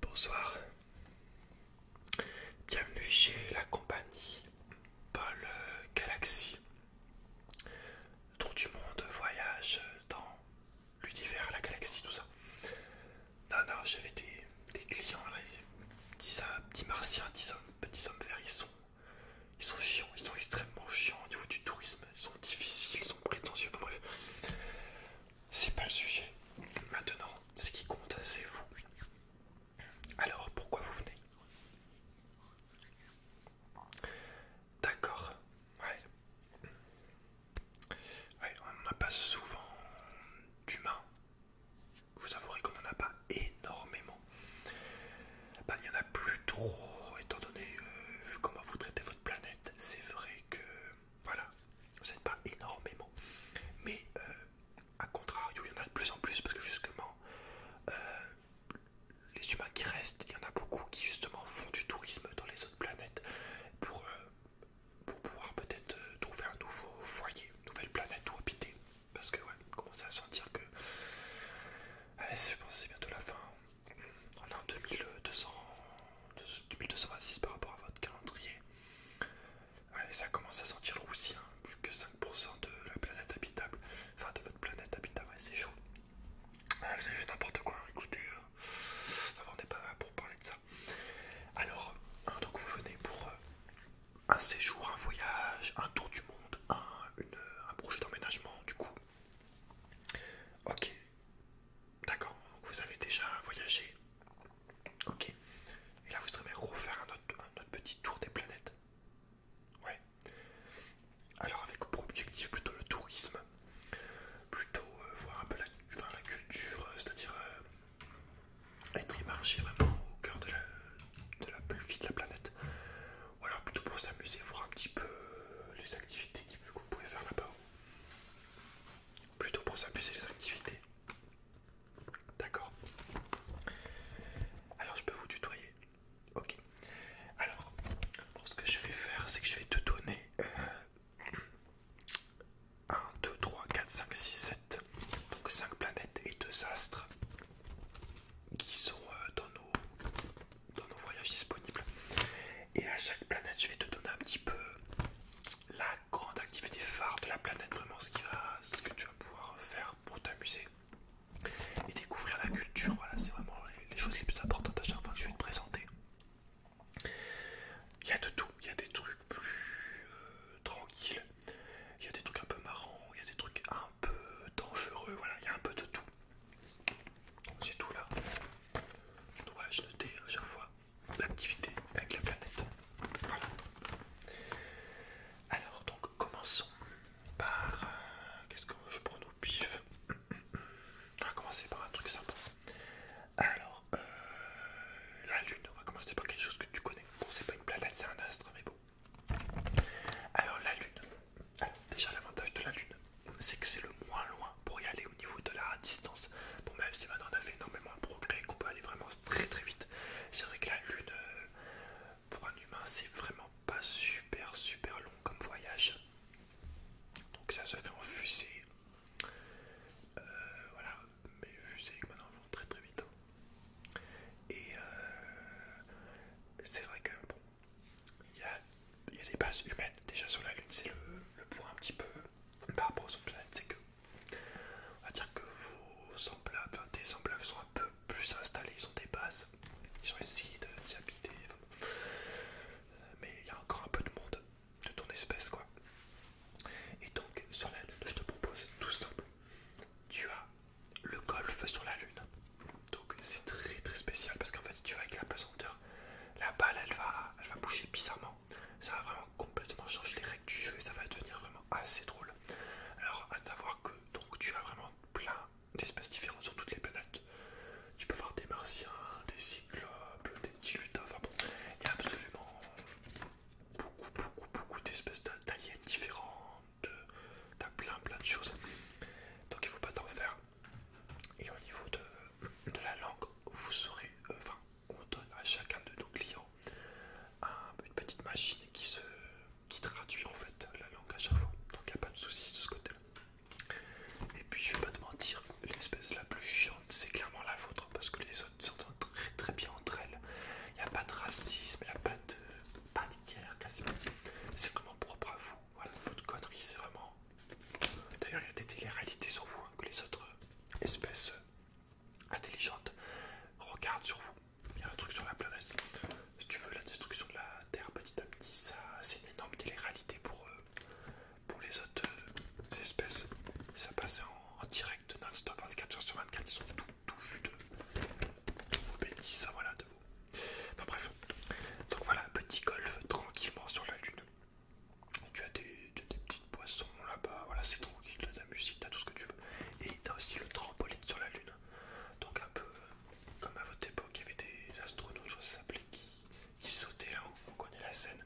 Bonsoir. Bienvenue chez la compagnie Paul Galaxy. Tour du monde, voyage dans l'univers, la galaxie, tout ça. Non, non, j'avais des, clients, là, petits, martiens, petits hommes, petits hommes verts, ils sont chiants, ils sont extrêmement chiants au niveau du tourisme, ils sont difficiles, ils sont prétentieux, enfin bref. C'est pas le sujet. Maintenant, ce qui compte, c'est vous. Alors, pourquoi vous venez D'accord, ouais. Ouais, on n'en a pas souvent d'humains. vous avouerai qu'on n'en a pas énormément. Bah, il n'y en a plus trop, étant donné euh, vu comment vous traitez votre planète, c'est vrai que voilà, vous n'êtes pas énormément. Mais euh, à contrario, il y en a de plus en plus parce que justement, euh, les humains qui restent, il y en a beaucoup qui justement font du tourisme dans les autres planètes pour, pour pouvoir peut-être trouver un nouveau foyer, une nouvelle planète où habiter. Parce que ouais, commencez à sentir que... Allez, je pense que c'est bientôt la fin on est en 2226 par rapport à votre calendrier. ça commence à sentir le roussi, plus que 5% de la planète habitable, enfin de votre planète habitable, c'est chaud. vous avez fait n'importe quoi, écoutez, euh, on n'est pas là pour parler de ça. Alors, hein, donc vous venez pour euh, un séjour, un voyage, un tour du monde, un projet d'emménagement, du coup, Ok, d'accord, vous avez déjà voyagé. Ok, et là vous aimeriez refaire un autre, petit tour des planètes. Ouais, alors avec pour objectif plutôt le tourisme, plutôt euh, voir un peu la, culture, euh, c'est-à-dire euh, être immergé vraiment au cœur de la, de de la planète. Voilà, plutôt pour s'amuser, voir un petit peu euh, les activités que vous pouvez faire là-bas. Plutôt pour s'amuser les activités. D'accord. Alors je peux vous tutoyer. Ok. Alors, ce que je vais faire, c'est que je vais te donner 1, 2, 3, 4, 5, 6, 7. Donc 5 planètes et 2 astres qui sont euh, dans nos dans nos voyages disponibles. Et à chaque planète, je vais te donner un petit peu la grande activité phare de la planète, vraiment ce, qui va, ce que tu vas pouvoir faire pour t'amuser et découvrir la culture. Voilà, c'est vraiment les choses les plus importantes à chaque fois que je vais te présenter. Il y a de tout, il y a des trucs plus euh, tranquilles, il y a des trucs un peu marrants, il y a des trucs un peu dangereux, voilà, il y a un peu de tout. J'ai tout là. Dois-je noter à chaque fois l'activité avec la planète Voilà. Alors, donc commençons par. Euh, qu'est-ce que je prends au pif On va commencer par un truc sympa. Alors, euh, la Lune, on va commencer par quelque chose que tu connais. Bon, c'est pas une planète, c'est un astre, mais bon. Alors, la Lune. Ah, déjà l'avantage de la Lune, c'est que c'est le moins loin pour y aller au niveau de la distance. Bon même si maintenant on a fait énormément de progrès, qu'on peut aller vraiment très très vite. C'est vrai que la Lune, euh, pour un humain, c'est vraiment pas super super long comme voyage. Donc ça se fait en fusée. Euh, voilà, mais fusées maintenant vont très très vite. Et euh, c'est vrai que bon, il y, a, des bases humaines déjà sur la Lune, c'est le, point un petit peu par rapport aux son c'est que on va dire que vos semblables, enfin, semblables sont un peu plus installés, ils ont des bases, ils ont essayé de s'habiter, euh, mais il y a encore un peu de monde de ton espèce quoi. Et donc sur la Lune, je te propose tout simple, tu as le golf sur la Lune. Donc c'est très très spécial parce qu'en fait tu vas avec la pesanteur, la balle elle va, va bouger bizarrement. Ça va vraiment complètement changer les règles du jeu et ça va devenir vraiment assez drôle. Alors à savoir que donc tu as vraiment plein d'espèces différentes sur toutes les planètes. Tu peux voir des martiens, des cyclopes, des petits enfin bon, il y a absolument beaucoup, beaucoup, beaucoup d'espèces d'aliens différentes, as plein, plein de choses. Donc il faut pas t'en faire. Et au niveau de, la langue, vous saurez, euh, enfin, on donne à chacun de nos clients une petite machine qui, se, traduit en fait la langue à chaque fois. Donc il n'y a pas de soucis de ce côté-là. Et puis je vais pas te mentir, l'espèce la plus chiante c'est clairement la vôtre hein, parce que les autres s'entendent très très bien entre elles. Il n'y a pas de racisme, il n'y a pas de, pas de guerre quasiment. C'est vraiment propre à vous. Voilà, votre connerie, c'est vraiment. D'ailleurs, il y a des télé-réalités sur vous hein, que les autres euh, espèces euh, intelligentes regardent sur vous. Il y a un truc sur la planète. Si tu veux, la destruction de la Terre petit à petit, c'est une énorme télé-réalité pour, eux pour les autres euh, espèces. Ça passait en, direct non-stop 24 h sur 24. Ils sont tout, vus de, vos bêtises, hein, voilà, de vous. Enfin bref. Donc voilà, petit golf tranquillement sur la lune. Tu as des, petites poissons là-bas, voilà, c'est tranquille, t'as de la musique, t'as tout ce que tu veux. Et t'as aussi le trampoline sur la lune. Donc un peu euh, comme à votre époque, il y avait des astronautes, je ça s'appelait, qui, sautaient là on connaît la scène.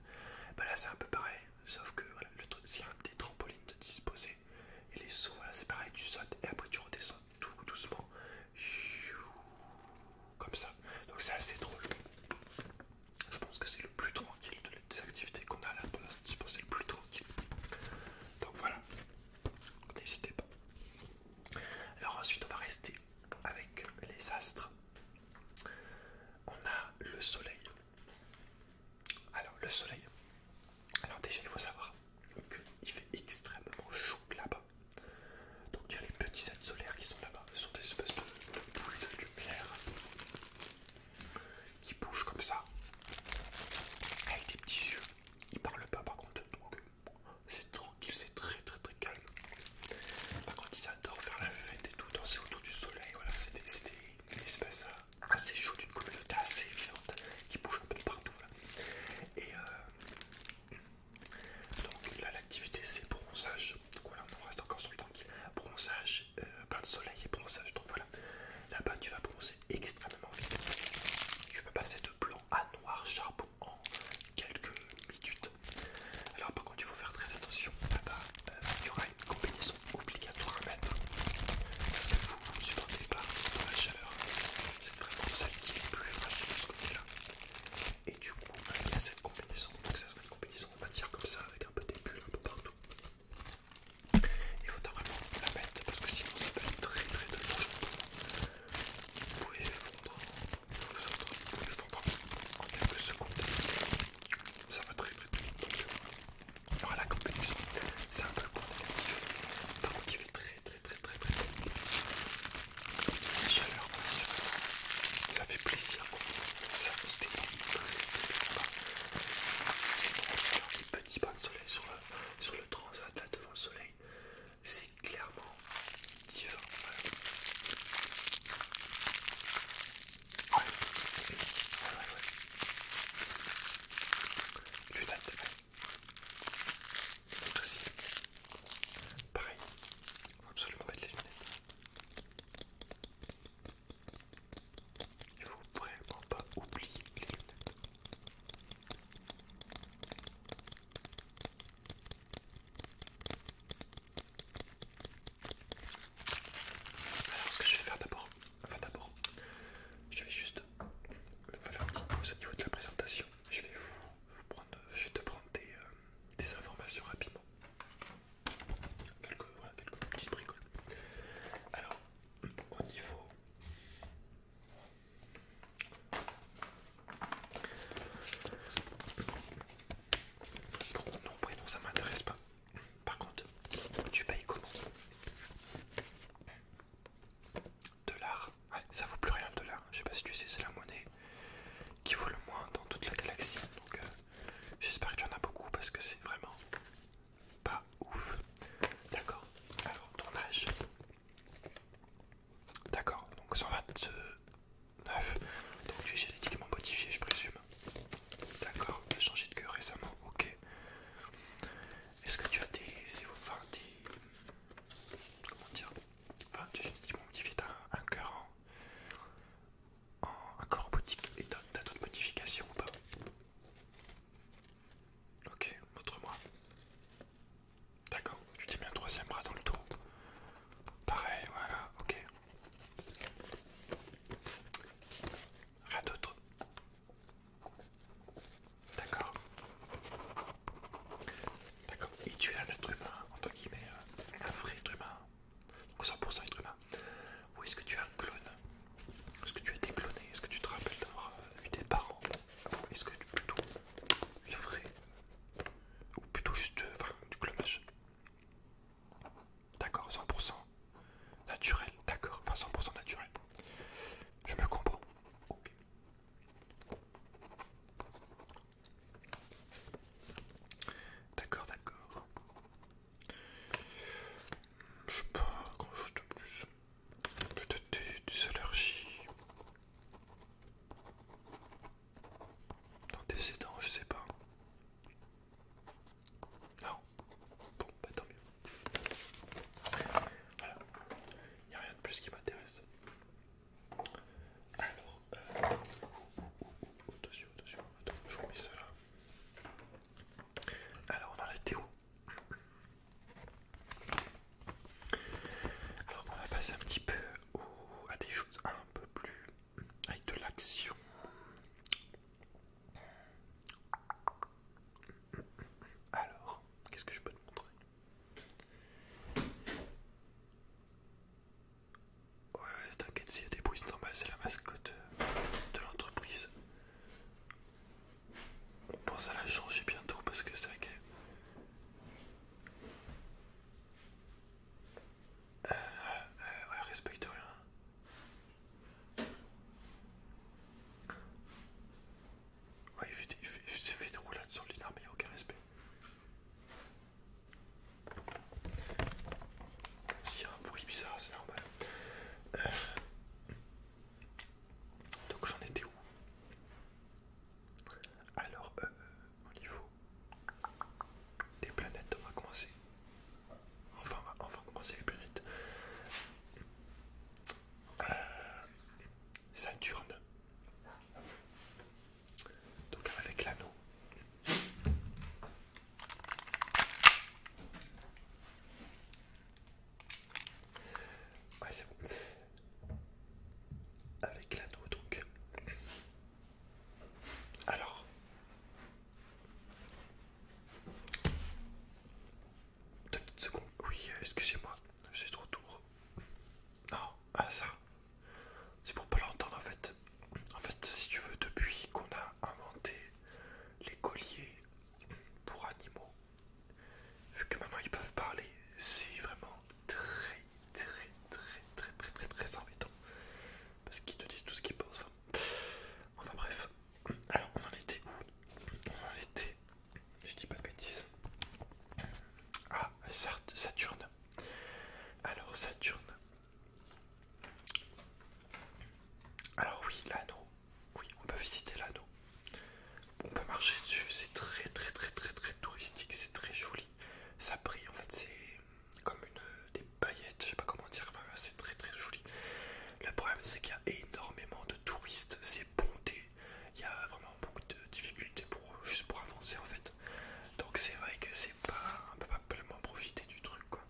Bah là c'est un peu pareil, sauf que le truc c'est des trampolines de disposer. Et les sauts, voilà, c'est pareil, tu sautes et après tu redescends tout doucement comme ça. Donc c'est assez drôle. Je pense que c'est le plus tranquille de les activités qu'on a là. Pour poste. je pense que c'est le plus tranquille. Donc voilà, n'hésitez pas. Alors ensuite, on va rester avec les astres. On a le soleil. Alors le soleil. Alors déjà, il faut savoir qu'il fait extrêmement chaud là-bas. Donc il y a les petits ailes solaires qui sont là-bas. Ce sont des espèces de, boules de lumière qui bougent comme ça. Avec des petits yeux. Ils parlent pas par contre. Donc c'est tranquille, c'est très très très calme. Par contre ils adorent faire la fête et tout, danser autour du soleil. Voilà, c'est une espèce euh, assez chaude, une communauté assez vivante qui bouge un peu partout. Euh, donc là l'activité c'est bronzage, donc voilà on reste encore sur le tranquille, bronzage, euh, bain de soleil et bronzage, donc voilà, là-bas tu vas bronzer extrêmement vite, tu vas passer de blanc à noir charbon en quelques minutes. Alors par contre il faut faire très attention, là-bas euh, il y aura une combinaison obligatoire à mettre, parce que vous ne supportez pas la chaleur, c'est vraiment celle qui est plus fraîche de ce côté-là. Et du coup, il y a cette combinaison. Donc, ça serait une combinaison matière comme ça, avec un peu de un peu partout. Il faut vraiment la mettre parce que sinon, ça très très très Vous pouvez vous pouvez fondre quelques secondes. Ça va très très vite. Euh, voilà la combinaison. C'est un peu très très très très très la chaleur, ça fait plaisir, ça se détend très petits bains de soleil sur le, sur le transat là devant le soleil, c'est clairement divin. Ouais. Ouais. Ouais, ouais, Tout aussi. Pareil, il faut absolument mettre les lunettes. Il faut vraiment pas oublier les lunettes. Alors ce que je vais faire d'abord, enfin d'abord, je vais juste faire une petite pause au niveau de la présentation. Je vais vous, prendre, je vais te prendre des, euh, des informations rapidement. Quelques, petites bricoles. Alors, au niveau non ça m'intéresse pas. Par contre, tu payes comment Dollars Ouais, ça vaut plus rien le dollar. Je sais pas si tu sais, c'est la monnaie qui vaut le moins dans toute la galaxie. Donc euh, j'espère que tu en as beaucoup parce que c'est vraiment pas ouf. D'accord. Alors ton âge. D'accord. Donc 129. Donc tu es génétiquement modifié, je présume. D'accord. Tu as changé de queue récemment. Ok. Est-ce que tu as des... comment dire Enfin, tu es génétiquement modifié, t'as un, cœur en en, en corps boutique. Et t'as d'autres modifications ou pas Ok, montre-moi. D'accord, tu t'es mis un troisième bras dans le tour. Pareil, voilà, ok. Rien d'autre. D'accord. D'accord. Et tu es un être humain, entre guillemets, euh, un vrai être humain, 100% être humain, ou est-ce que tu as un clone Est-ce que tu as été cloné Est-ce que tu te rappelles d'avoir euh, eu tes parents est-ce que tu plutôt le vrai Ou plutôt juste euh, du clonage D'accord, 100% naturel, d'accord, enfin 100% naturel. Je me comprends. D'accord, d'accord. Je sais pas grand chose de plus. Peut-être des, allergies. D'antécédents, je sais pas. Non. Bon, bah tant mieux. Voilà. Il n'y a rien de plus qui m'intéresse. Alors, euh, attention, attention, attends, je vous ça Alors, on a la où Alors, on va passer un petit peu à des choses un peu plus avec de l'action. Alors, qu'est-ce que je peux te montrer Ouais, ouais t'inquiète, s'il y a des bruits, c'est normal, c'est la mascotte euh, de l'entreprise. On pense à la changer bientôt parce que c'est vrai qu'elle. Euh, euh, ouais, respecte rien. Ouais, il fait, fait, des roulades sur le mais il n'y a aucun respect. S'il un bruit bizarre, c'est normal. Euh. Donc j'en étais où Alors, euh, au niveau des planètes, on va commencer. Enfin, on va, commencer les planètes. Euh, Saturne. Donc avec l'anneau. Ouais c'est bon. Avec l'anneau donc. Alors. Deux petites secondes. Oui, euh, excusez-moi, je suis trop tour. Non, ah ça, c'est pour pas l'entendre en fait. En fait, si tu veux, depuis qu'on a inventé les colliers pour animaux, vu que maintenant ils peuvent parler, c'est vraiment très, très, très, très, très, très, très embêtant. Parce qu'ils te disent tout ce qu'ils pensent. Enfin, bref. Alors, on en était où On en était, je dis pas de bêtises. Ah, Saturne. Alors, Saturne. Alors oui, l'anneau. Oui, on peut visiter l'anneau. On peut marcher dessus. C'est très très très très très touristique. C'est très joli. Ça brille. En fait, c'est comme une des paillettes. Je sais pas comment dire. c'est très très joli. Le problème, c'est qu'il y a énormément de touristes. C'est bondé. Il y a vraiment beaucoup de difficultés pour juste pour avancer en fait. Donc c'est vrai que c'est pas, un peu pas profiter du truc quoi.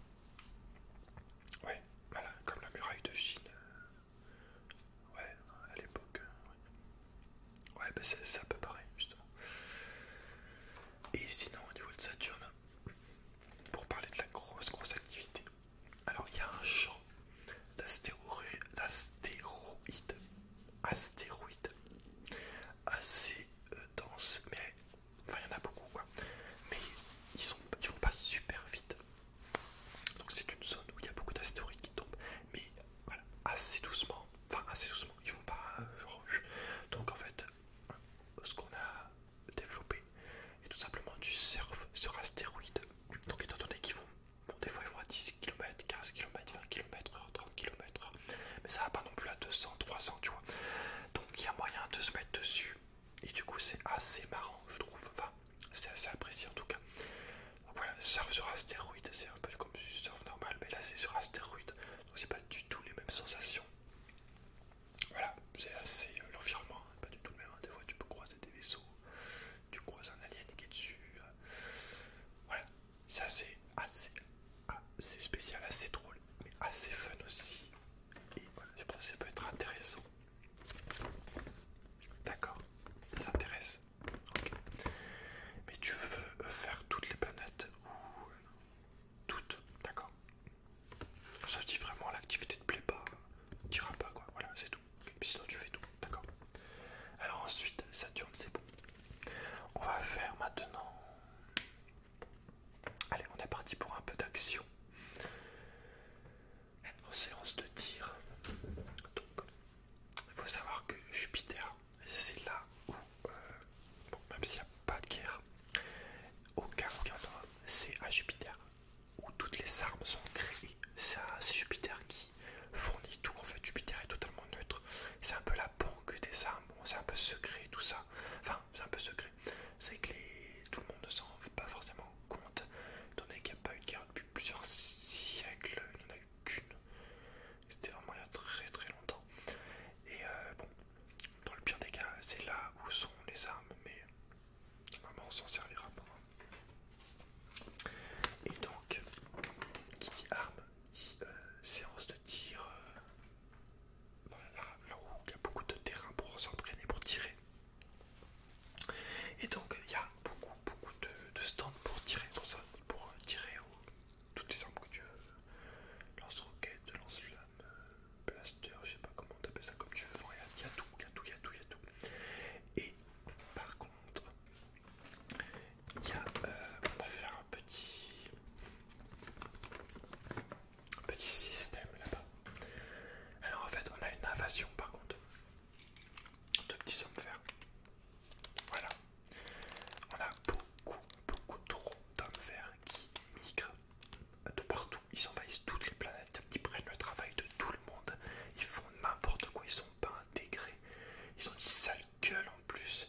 Ouais, voilà, comme la muraille de Chine. Euh, ouais, à l'époque. Euh, ouais, ouais bah c'est un peu pareil, justement. Et sinon au niveau de Saturne, pour parler de la grosse grosse activité, alors il y a un champ d'astéroïdes astéroïdes assez euh, dense, mais enfin il y en a beaucoup quoi. Mais ils, sont, ils vont pas super vite. Donc c'est une zone où il y a beaucoup d'astéroïdes qui tombent, mais voilà, assez doucement, enfin assez doucement, ils vont pas euh, genre. Donc en fait, ce qu'on a développé est tout simplement du surf sur astéroïdes, Donc étant donné qu'ils vont, des fois ils vont à 10 km, 15 km, 20 km, 30 km, mais ça va pas non plus à 200, 300, tu vois. Donc il y a moyen de se mettre dessus. Et du coup, c'est assez marrant, je trouve. Enfin, c'est assez apprécié en tout cas. Donc voilà, surf sur astéroïde, c'est un peu comme surf normal, mais là c'est sur astéroïde. Donc c'est pas du tout les mêmes sensations. Voilà, c'est assez euh, l'environnement, hein, pas du tout le même. Hein. Des fois, tu peux croiser des vaisseaux, tu croises un alien qui est dessus. Euh. voilà, ça c'est assez, assez spécial, assez drôle, mais assez fun aussi. Et voilà, je pense que ça peut être intéressant. D'accord, ça t'intéresse. Ok. Mais tu veux euh, faire toutes les planètes ou euh, toutes, d'accord. Sauf si vraiment l'activité te plaît pas, tu t'iras pas quoi. Voilà, c'est tout. sinon tu fais tout, d'accord. Alors ensuite, Saturne, c'est bon. On va faire maintenant Allez, on est parti pour un peu d'action. En séance de tir. Donc, il faut savoir que Jupiter, c'est là où, euh, même s'il n'y a pas de guerre, aucun c'est à Jupiter où toutes les armes sont créées. C'est Jupiter qui fournit tout. En fait, Jupiter est totalement neutre. C'est un peu la que des armes, bon, c'est un peu secret tout ça. Enfin, c'est un peu secret. C'est que les... tout le monde ne s'en fait pas forcément compte, étant donné qu'il n'y a pas eu de guerre depuis plusieurs siècles, il n'y en a eu qu'une. C'était vraiment il y a très très longtemps. Et euh, bon, dans le pire des cas, c'est là où sont les armes, mais vraiment on s'en servira pas. Et donc, qui dit arme dit euh, séance de tir, euh, là, où il y a beaucoup de terrain pour s'entraîner, pour tirer. Et donc il y a beaucoup, beaucoup de, stands pour tirer, pour, euh, tirer toutes les armes que tu veux. Lance-roquette, lance-flamme, euh, blaster, je sais pas comment t'appelles ça comme tu veux. Il y, a tout, il y a tout, il y a tout, il y a tout. Et par contre, il y a, euh, on a fait un petit, Petit système là-bas. Alors en fait, on a une invasion par contre. De petits hommes verts. Voilà. On a beaucoup, beaucoup trop d'hommes verts qui migrent de partout. Ils envahissent toutes les planètes. Ils prennent le travail de tout le monde. Ils font n'importe quoi. Ils sont pas intégrés. Ils ont une sale gueule en plus.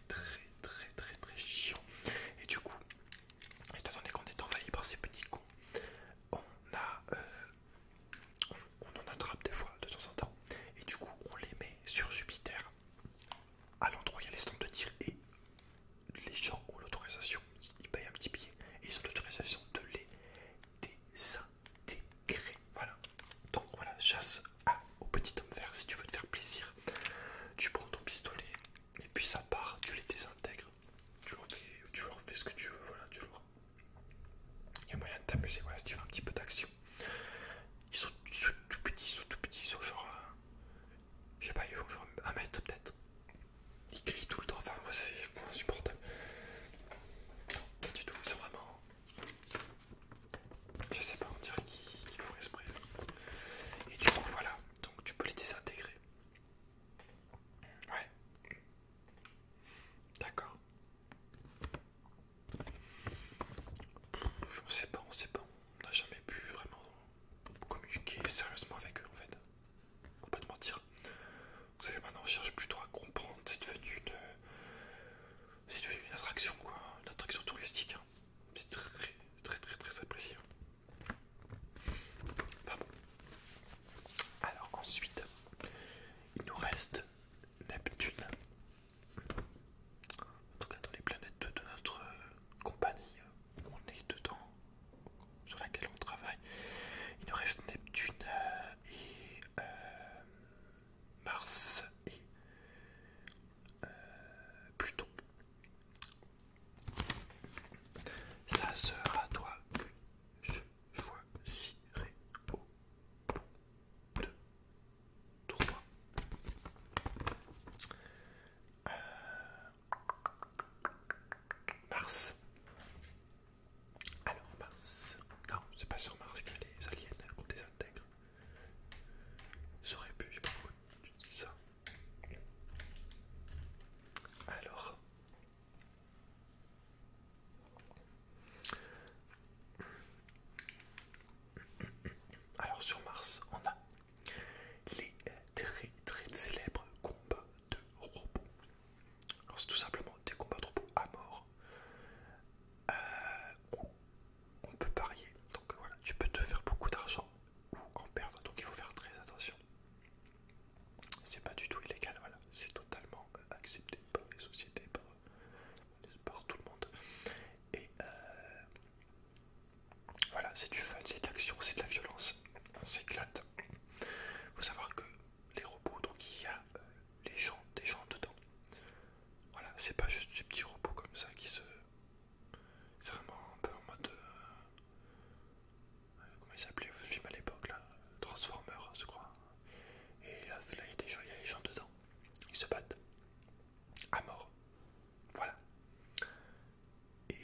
très très très très chiant. Et du coup, étant donné qu'on est envahi par ces petits cons, on a... Euh, on, en attrape des fois de temps en temps et du coup on les met sur Jupiter à l'endroit il y a les stands de tir et les gens ont l'autorisation, ils payent un petit billet et ils ont l'autorisation de les désintégrer. Voilà. Donc voilà, chasse ah, au petit homme vert si tu veux te faire plaisir. Tu prends ton pistolet et puis ça part, tu les désintègres, tu leur fais, ce que tu veux, voilà, tu l'auras. Il y a moyen de t'amuser, voilà, si tu veux un petit peu d'action. Ils sont, tout petits, ils sont tout petits, ils sont genre... Euh, je sais pas, ils font genre un mètre peut-être. Ils crient tout le temps, enfin c'est insupportable. Non, pas du tout, ils vraiment... Je sais pas, on dirait qu'ils font esprit. Et du coup, voilà, donc tu peux les désintégrer. Ouais. D'accord. Je sais pas, on sait pas. On n'a jamais pu vraiment communiquer sérieusement avec eux en fait. On pas te mentir. Vous savez, maintenant on cherche plutôt à comprendre. C'est devenu une. C'est devenu une attraction quoi. Une attraction touristique. Hein. C'est très, très, très, très apprécié. bon. Alors ensuite, il nous reste Neptune. En tout cas, dans les planètes de notre euh, compagnie, euh, on est dedans, sur laquelle on travaille. Il nous reste Neptune euh, et Mars et euh, Pluton. Ça sera toi que je choisirai au bout de trois. Euh, Mars. Alors Mars. Non, c'est pas sur Mars qu'il y a les aliens qu'on désintègre. J'aurais pu, je sais pas pourquoi tu dis ça. Alors. Alors sur Mars, on a les très très célèbres combats de robots. Alors c'est tout simplement des combats de robots à mort. Euh, on peut parier. Donc voilà, tu peux te faire beaucoup d'argent ou en perdre. Donc il faut faire très attention. C'est pas du tout illégal, voilà. C'est totalement euh, accepté par les sociétés, par, tout le monde. Et euh, voilà, c'est du fun, c'est de c'est de la violence. On s'éclate. Il faut savoir que les robots, donc il y a euh, les gens, des gens dedans. Voilà, c'est pas juste ces petits robots comme ça qui se. C'est vraiment un peu en mode. Euh, comment il s'appelait ce film à l'époque là Transformers, je crois. Et là, il y a des gens, dedans. Ils se battent. À mort. Voilà. Et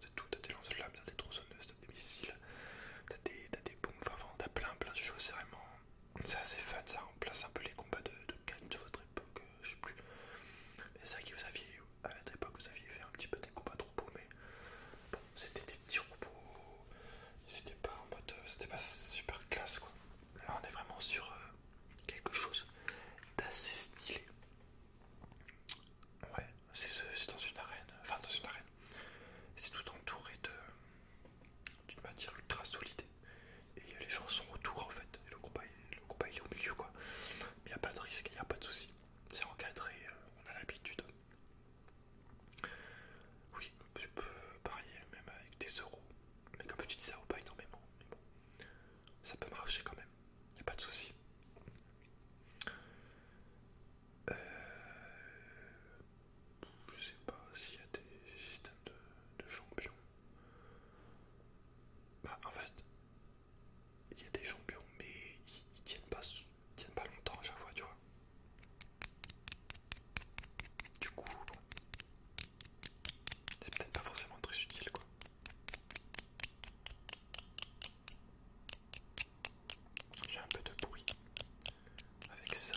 c'est euh, tout, t'as des lance-flammes, t'as des tronçonneuses, t'as des missiles, t'as des, des boom enfin t'as plein plein de choses, c'est vraiment... C'est assez fun ça, remplace un peu les combats de, de de votre époque je sais plus. c'est ça qui vous aviez, à l'époque vous aviez fait un petit peu des combats de robots, mais bon, c'était des petits robots, c'était pas en mode, euh, c'était pas super classe quoi. Là, on est vraiment sur euh, quelque chose d'assez stylé. Ouais, c'est dans une arène, enfin dans une arène, c'est tout entouré d'une matière ultra solide et les gens sont autour en fait, et le combat, il est au milieu quoi. Il n'y a pas de risque, il n'y a pas de souci. C'est encadré, euh, on a l'habitude. Oui, je peux parier même avec des euros. Mais comme je dis ça, pas énormément. Mais bon, ça peut marcher quand même. Il a pas de souci. Euh, je sais pas s'il y a des systèmes de champions. Bah, en fait, il y a des champions, mais ils, tiennent pas, tiennent pas longtemps à chaque fois, tu vois. Du coup, c'est peut-être pas forcément très utile, quoi. J'ai un peu de bruit avec ça.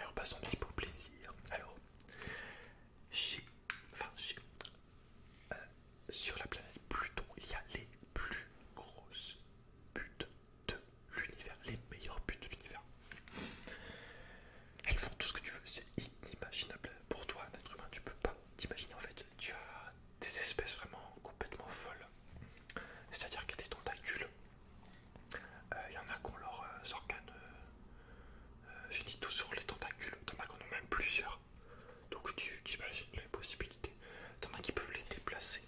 Alors passons petit pour plaisir. Alors, chez, enfin euh, sur la planète Pluton, il y a les plus grosses buttes de l'univers, les meilleures buttes de l'univers. Elles font tout ce que tu veux, c'est inimaginable pour toi, un être humain, tu peux pas t'imaginer en fait. Tu as des espèces vraiment complètement folles. C'est-à-dire qu'il y a des tentacules il euh, y en a qu'on leur leurs organes, euh, euh, j'ai dit tout sur les tentacules, t'en as qu'on en a même plusieurs. Donc j'imagine les possibilités. en a qui peuvent les déplacer.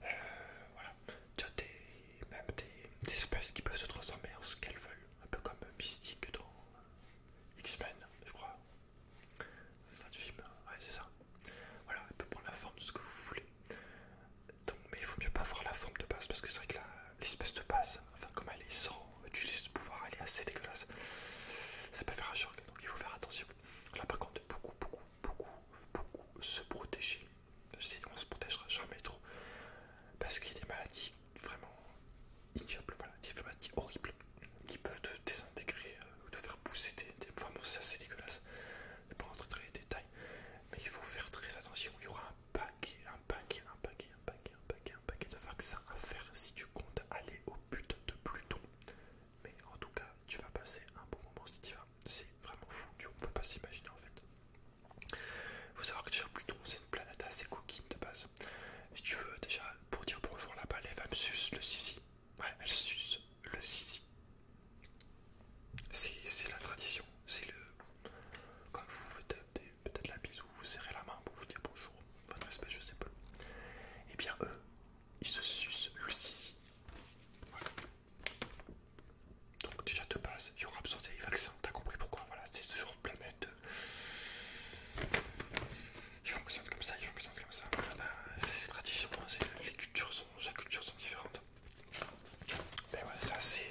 voilà. Tu as même des, espèces qui peuvent se transformer en ce qu'elles veulent. Un peu comme Mystique dans X-Men, je crois. Fin de film, ouais c'est ça. Voilà, elle peut prendre la forme de ce que vous voulez. Donc, mais il faut mieux pas voir la forme de base parce que c'est vrai que l'espèce de base, comme elle est sans utiliser ce pouvoir, elle est assez dégueulasse. Ça peut faire un choc, donc il faut faire attention. Là par contre, beaucoup, beaucoup, beaucoup, beaucoup se protéger. Je on se protégera jamais trop parce qu'il y a des maladies vraiment ignobles, voilà, des maladies horribles qui peuvent te désintégrer euh, ou te faire pousser des. vraiment c'est assez dégueulasse je ne vais pas rentrer dans les détails, mais il faut faire très attention. Il y aura un paquet, un paquet, un paquet, un paquet, un paquet, un paquet de vaccins à faire si tu comptes aller au but de Pluton. Mais en tout cas, tu vas passer un bon moment si tu vas. C'est vraiment fou, tu ne peut pas s'imaginer en fait. Il faut savoir que déjà Pluton, c'est une planète assez coquine de base. Si tu veux, déjà, pour dire bonjour là-bas, va va sucer le sisi. Ouais, elle le sisi, C'est la tradition, c'est le. Quand vous faites peut-être la bise ou vous serrez la main pour vous dire bonjour, votre espèce, je sais pas. Et eh bien eux, ils se sucent le sisi. Donc déjà de base, il y aura besoin des vaccins, t'as compris pourquoi, voilà, c'est ce genre de planète. Euh, ils fonctionnent comme ça, ils fonctionnent comme ça. Ah bah, c'est les hein, les cultures sont, sont différentes. Mais ouais, ben ça c'est.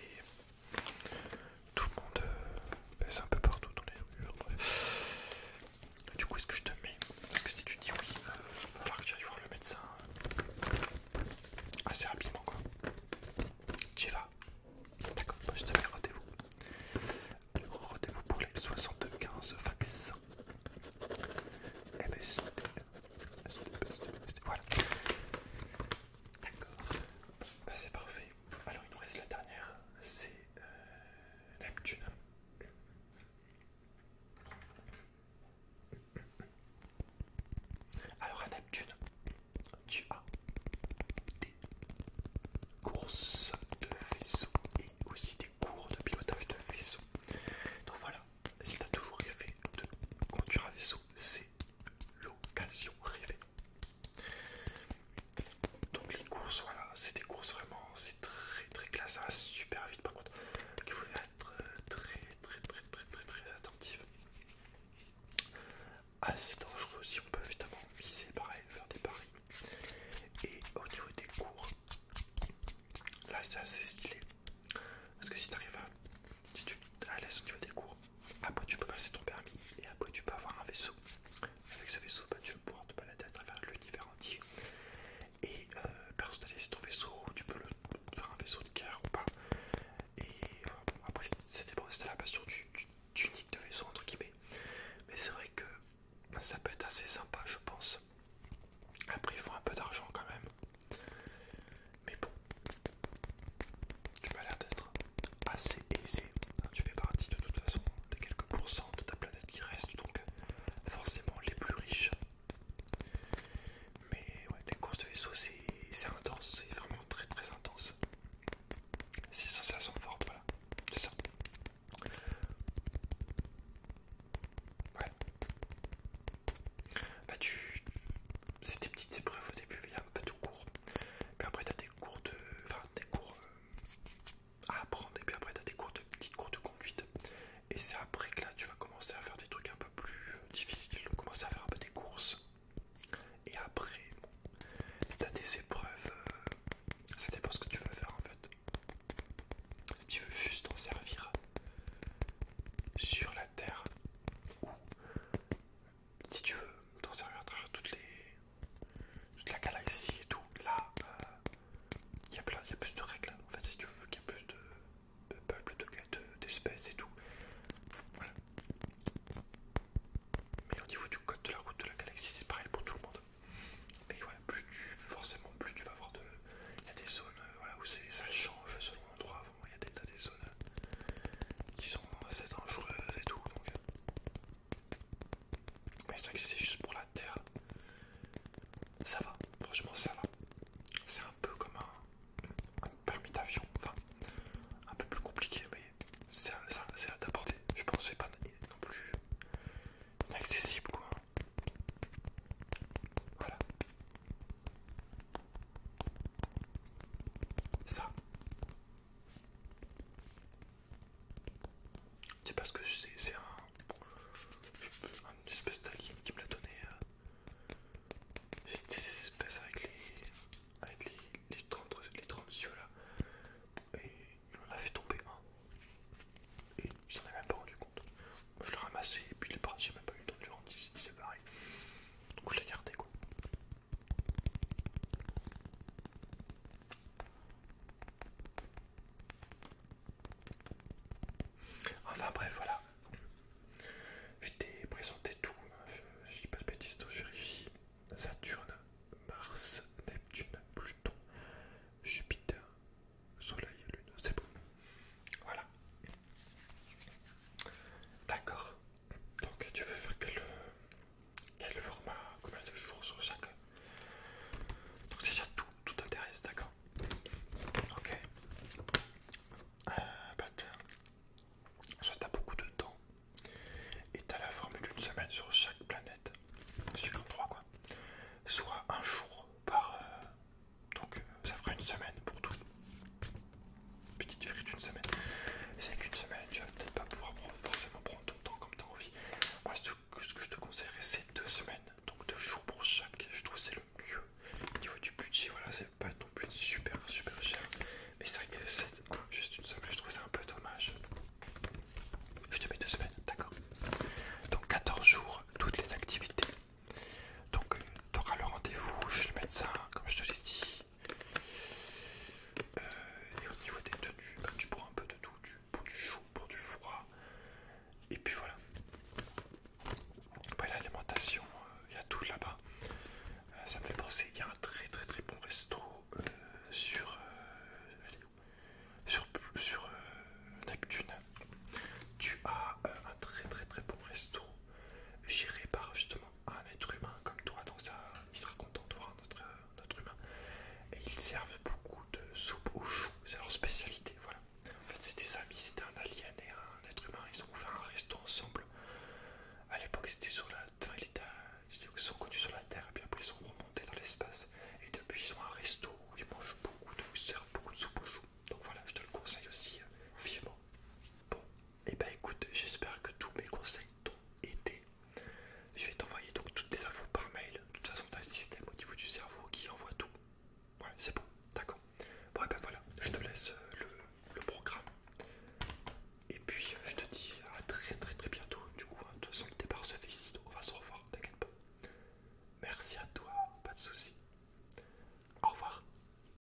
Tout le monde euh, ben, un peu partout dans les rues. Du coup, est-ce que je te mets Parce que si tu dis oui, euh, il va falloir que tu ailles voir le médecin euh, assez rapidement quoi. Tu y vas D'accord, je te mets rendez-vous. Rendez-vous pour les 75 vaccins. MSD, eh ben, voilà. D'accord. Bah, c'est parfait. Alors il nous reste la dernière, c'est euh, Neptune. Alors à Neptune, tu as des courses de vaisseau et aussi des cours de pilotage de vaisseau. Donc voilà, si t'as toujours rêvé de conduire un vaisseau, c'est l'occasion rêvée. Donc les courses, voilà, c'est des courses vraiment, c'est très très classe, ça hein, va super vite par contre. il faut être euh, très très très très très très attentif. Assez dangereux aussi, on peut évidemment viser pareil, faire des paris. Et au niveau des cours, là c'est assez stylé. Parce que si tu arrives à. Si tu l'aise au niveau des cours, après tu peux passer ton permis et après tu peux avoir un vaisseau. Avec ce vaisseau, bah, tu vas pouvoir te balader à travers l'univers entier et euh, personnaliser ton vaisseau. Tu peux le, faire un vaisseau de guerre ou pas. Et après, c'était la passion du, de vaisseau, entre guillemets. Mais c'est vrai que ça peut être assez sympa, je pense. Après, il faut un peu d'argent quand même. Mais bon, tu m'as l'air d'être assez aisé. Hein, tu fais partie de toute façon des quelques pourcents de ta planète qui restent, donc euh, forcément les plus riches. Mais ouais, les courses de vaisseau, c'est intense, c'est vraiment très très intense. C'est sensation forte, voilà, c'est ça. Ouais, bah tu... C'est des petites épreuves au début, il y a un peu de cours. Puis après t'as des cours des cours euh, à apprendre. Et puis après t'as des cours de petites cours de conduite. Et c'est après que là tu vas commencer à faire des trucs un peu plus euh, difficiles. Commencer à faire un peu des courses. Et après, tu t'as des épreuves. c'était euh, ça ce que tu veux faire en fait. tu veux juste t'en servir sur la terre ou si tu veux t'en servir à travers toutes les toute la galaxie et tout là il euh, y a plein plus de règles en fait si tu veux qu'il y ait plus de, de peuples d'espèces et tout voilà mais au niveau du code de la route de la galaxie c'est pareil pour tout le monde mais voilà plus tu forcément plus tu vas avoir de il y a des zones euh, où ça change selon l'endroit il y a des zones qui sont assez dangereuses et tout donc mais c'est c'est juste pour la terre ça va franchement ça va c'est un peu comme un, permis d'avion enfin un peu plus compliqué mais c'est à ta portée je pense que c'est pas non plus inaccessible quoi voilà ça. C'est parce que c'est un, espèce d'alien qui me l'a donné. C'est euh, cette espèce avec les, avec les, 30, les 30 yeux là. Et il en a fait tomber un. Et il s'en est même pas rendu compte. Je l'ai ramassé et puis il est parti, j'ai même pas eu le temps de rentrer. rendre, il s'est je l'ai gardé quoi. Enfin bref voilà. Je t'ai présenté tout, hein. je, je dis pas de bêtises, je vérifie. Saturne, Mars, Neptune, Pluton, Jupiter, Soleil, Lune, c'est bon. Voilà. D'accord. Donc tu veux faire quel, format, combien de jours sur chaque Donc déjà tout, tout t'intéresse, d'accord Ok. Euh, soit t'as beaucoup de temps et t'as la formule d'une semaine sur chaque planète, comme trois quoi. Soit un jour par, euh, donc euh, ça fera une semaine pour tout. Petite défi une semaine. C'est qu'une semaine, tu vas peut-être pas pouvoir forcément prendre ton temps comme tu as envie. Moi, ce que je te conseillerais, c'est deux semaines. Donc deux jours pour chaque. Je trouve c'est le mieux. Au niveau du budget, voilà, c'est pas ton plus super super cher. Mais c'est vrai que c'est juste une semaine, je trouve ça un peu dommage. Je te mets deux semaines, d'accord. Donc 14 jours, toutes les activités donc tu auras le rendez-vous chez le médecin, comme je te l'ai dit. Euh, et au niveau des tenues, bah, tu prends un peu de tout, du, pour du chaud, pour du froid. Et puis voilà. l'alimentation, euh, il y a tout là-bas. Euh, ça me fait penser, il y a un très très très bon resto sur... sur, sur Neptune, tu as un très très très bon resto géré par justement un être humain comme toi dans ça, il sera content de voir notre humain. Et ils servent beaucoup de soupe aux choux, c'est leur spécialité, voilà. En fait, c'était des amis, c'était un alien et un être humain, ils ont ouvert un resto ensemble. À l'époque, c'était sur la. Enfin, ils sont connus sur la Terre, et puis après, ils sont remontés dans l'espace. Et depuis, ils ont un resto où ils mangent beaucoup, de... ils servent beaucoup de soupe aux choux. Donc voilà, je te le conseille aussi euh, vivement. Bon, et eh bah ben, écoute, j'espère que tous mes conseils t'ont été. Je vais t'envoyer donc toutes les infos par mail. De toute façon, t'as le système au niveau du cerveau qui envoie tout. Ouais, c'est bon, d'accord. Bon, eh ben voilà, je te laisse euh, le, programme. Et puis, euh, je te dis à très très très bientôt. Du coup, hein, de toute façon, le départ se fait ici, on va se revoir, t'inquiète pas. Merci à toi, pas de soucis. Au revoir.